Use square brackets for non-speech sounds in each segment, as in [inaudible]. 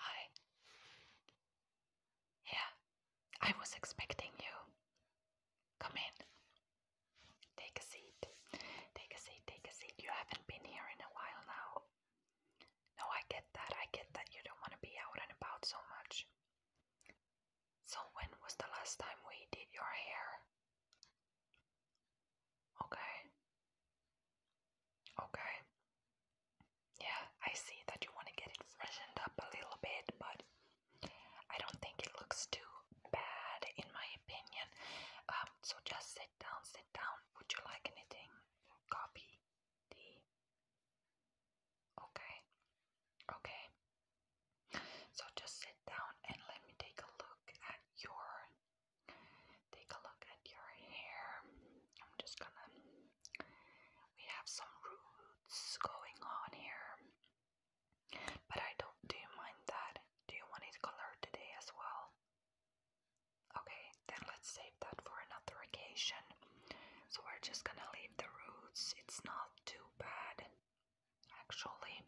Hi. Yeah, I was expecting you. Come in. Take a seat. Take a seat, take a seat. You haven't been here in a while now. No, I get that. I get that you don't want to be out and about so much. So, when was the last time we did your hair? Okay. Okay. Yeah, I see that you want to get it freshened up a little bit, but I don't think it looks too bad in my opinion. Um, so just sit down, sit down. Would you like anything? Coffee? Tea? Okay. Okay. So just sit down and let me take a look at your take a look at your hair. I'm just gonna. We have some roots going on here, but I don't. Do you mind that? Do you want it colored today as well? Okay, then let's save that for another occasion. So we're just gonna leave the roots. It's not too bad, actually.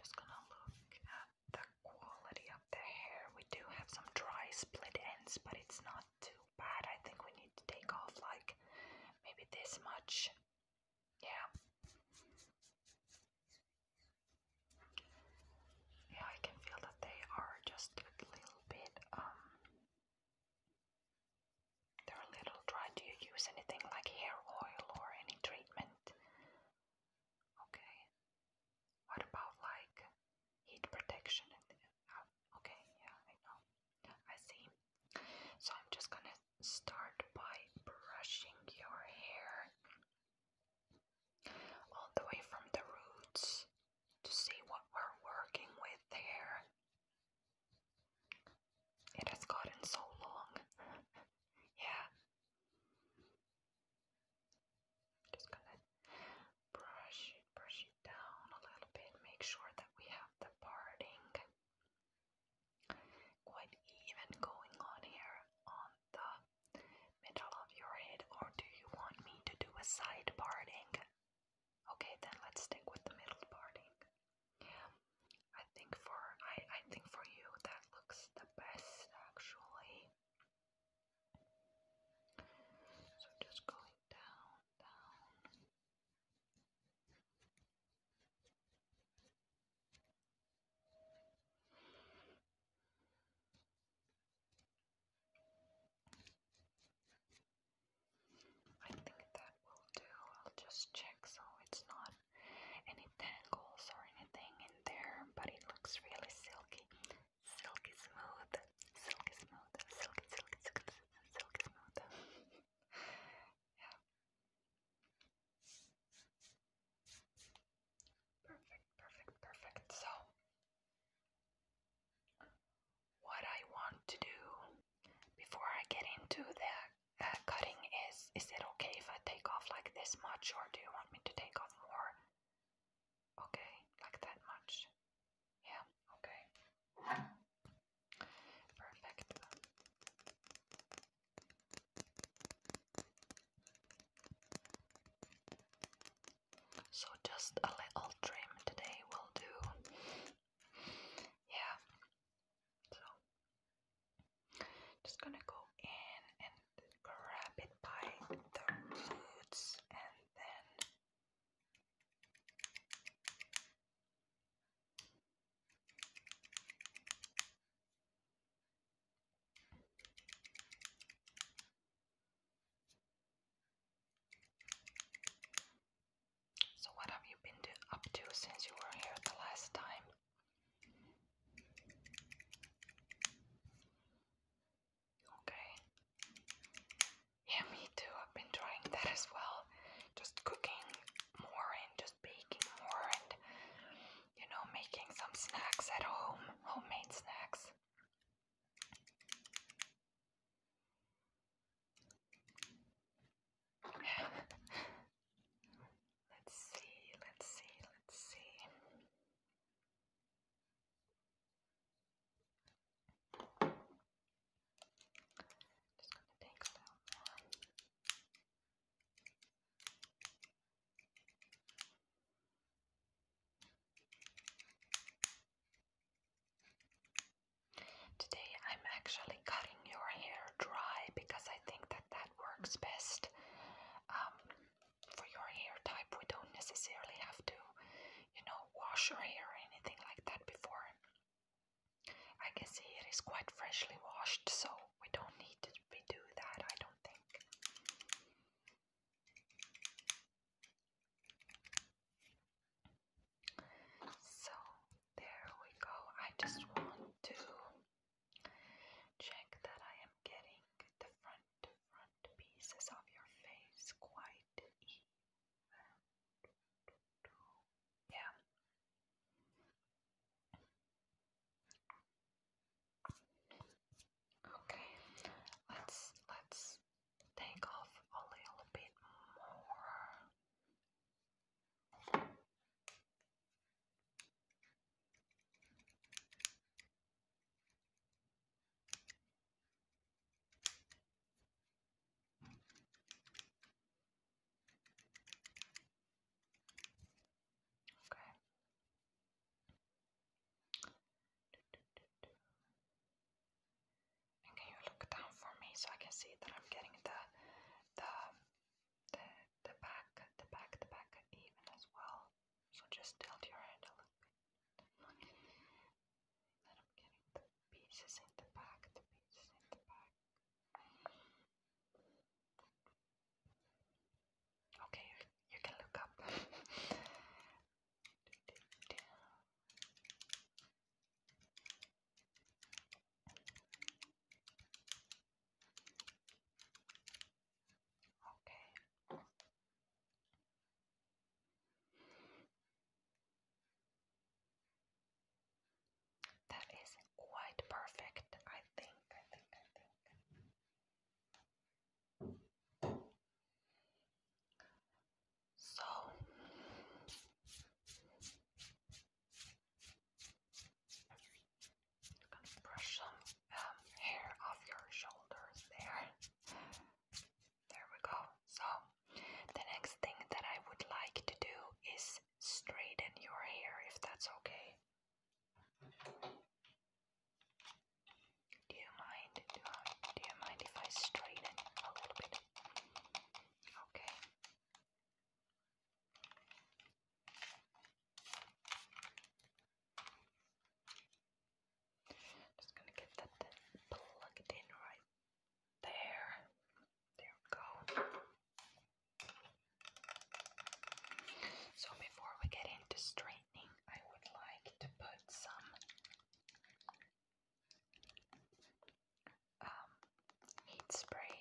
Just gonna look at the quality of the hair. We do have some dry split ends, but it's not too bad. I think we need to take off like maybe this much. Yeah. Yeah, I can feel that they are just a little bit, um, they're a little dry. Do you use anything like hair oil or any treatment? Okay, what about like heat protection? Oh, okay, yeah, I know. I see. So I'm just gonna start by brushing your hair all the way from the roots to see what we're working with there. It has gotten so long. [laughs] yeah just gonna brush it, brush it down a little bit, make sure that we have the parting quite even going on here on the middle of your head, or do you want me to do a side parting? Okay, then let's stick with the middle parting. I think for I I think for you that looks the best actually. So just going down, down. I think that will do. I'll just check so it's not any tangles or anything in there, but it looks really silky silky smooth, silky smooth, silky, silky, silky, silky smooth. Perfect, perfect, perfect. So, what I want to do before I get into the uh, cutting is, is it okay if I take off like this much or do you want me to take off more? Okay, like that much. Yeah, okay. Perfect. So just a little trim today will do. Yeah. So just gonna go in and grab it by the roots and then so, what have you been up to since you were here the last time? Okay. Yeah, me too. I've been trying that as well. Just cooking more and just baking more and, you know, making some snacks at home, homemade snacks. [sighs] let's see, let's see, let's see. Today I'm actually cutting your hair dry because I think that that works best. Um, for your hair type, we don't necessarily have to, you know, wash your hair or anything like that before. I can see it is quite freshly washed, so we don't need to redo that, I don't think. So, there we go. I just want to check that I am getting the front front pieces of your face quite even. Yeah. Okay, let's let's take off a little bit more. Okay. And can you look down for me so I can see that I'm getting the the the the back the back the back even as well. So just tilt your head a little bit. Then I'm getting the pieces in the back, the pieces in the back. Okay, you can look up. Okay. That is quite perfect, I think. I think, I think. So. gonna brush some um, hair off your shoulders there. There we go. So, the next thing that I would like to do is straighten your hair if that's okay. Do you mind? Do, I, do you mind if I straighten a little bit? Okay. Just gonna get that then in right there. There we go. So before we get into straightening, I would like to put some um, heat spray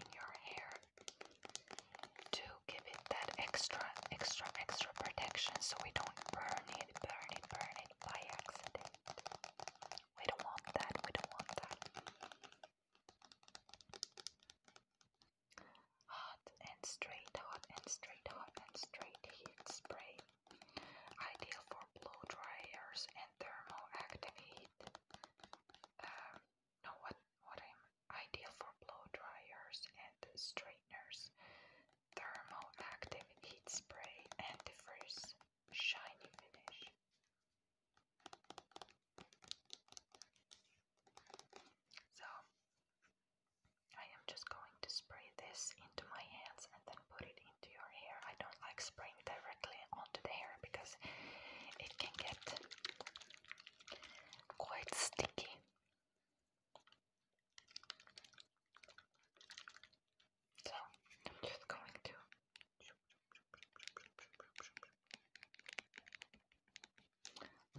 in your hair to give that extra, extra, extra protection so we don't burn it, burn it, burn it by accident. We don't want that, we don't want that. Hot and straight, hot and straight, hot and straight heat spray. Ideal for blow dryers and thermoactive heat. Um, no, what, what am ideal for blow dryers and straighteners. Thermal heat spray antifreeze shiny finish. So I am just going to spray this into my hands and then put it into your hair. I don't like spraying directly onto the hair because it can get quite sticky. So I'm just going to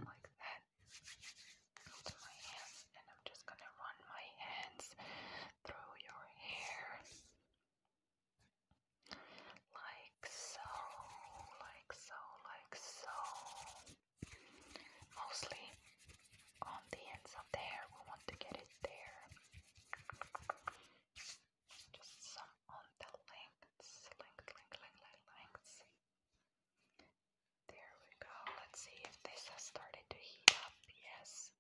like that onto my hands, and I'm just gonna run my hands through your hair like so, like so, like so mostly on the ends of the hair. We want to get it there. Just some on the lengths, length, length, lengths. There we go. Let's see if this has started to heat up. Yes.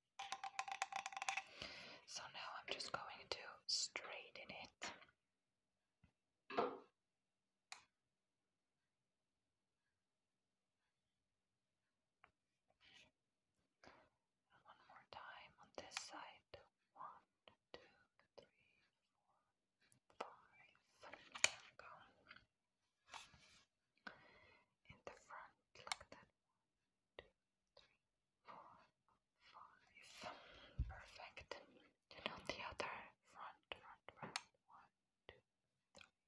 So now I'm just going to straighten it. And one more time on this side. One, two, three, four, five. There In the front, like that. One, two, three, four, five. Perfect. And on the other front, front, front. One, two, three,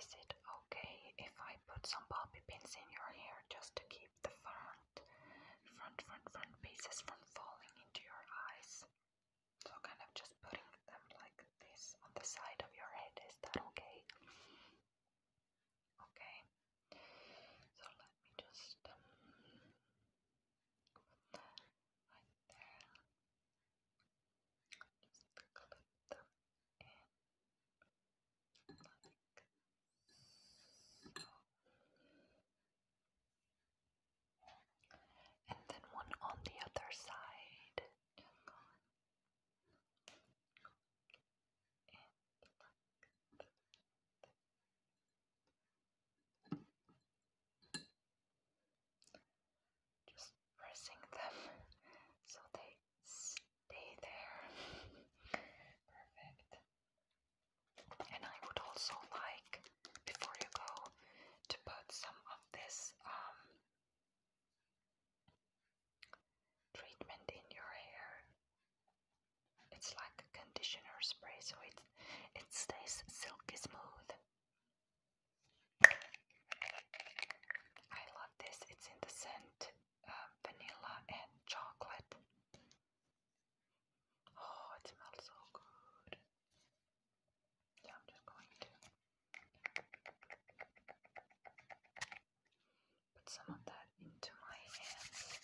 Is it okay if I put some bobby pins in your hair just to keep the front, front, front, front pieces from falling into your eyes? So kind of just putting them like this on the side of your head. Is that okay? Okay. So let me just um, put that right there. Just clip them And then one on the other side. Just pressing them so they stay there. Perfect. And I would also like, before you go, to put some of this um, treatment in your hair. It's like a conditioner spray, so it it stays silky smooth. I love this. It's in the scent uh, vanilla and chocolate. Oh, it smells so good. I'm just going to put some of that into my hands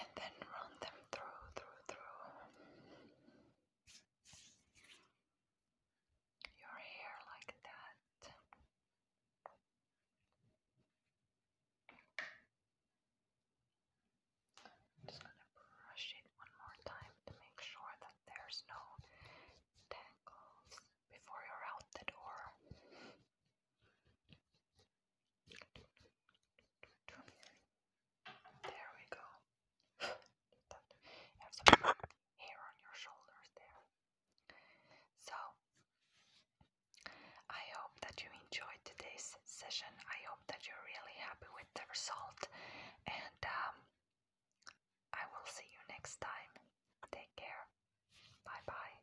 and then run them through, through, through your hair like that. just going to brush it one more time to make sure that there's no tangles before you're out the door. There we go. You on your shoulders there. So, I hope that you enjoyed today's session. I hope that you're really happy with the result. And um, I will see you next time. Take care. Bye bye.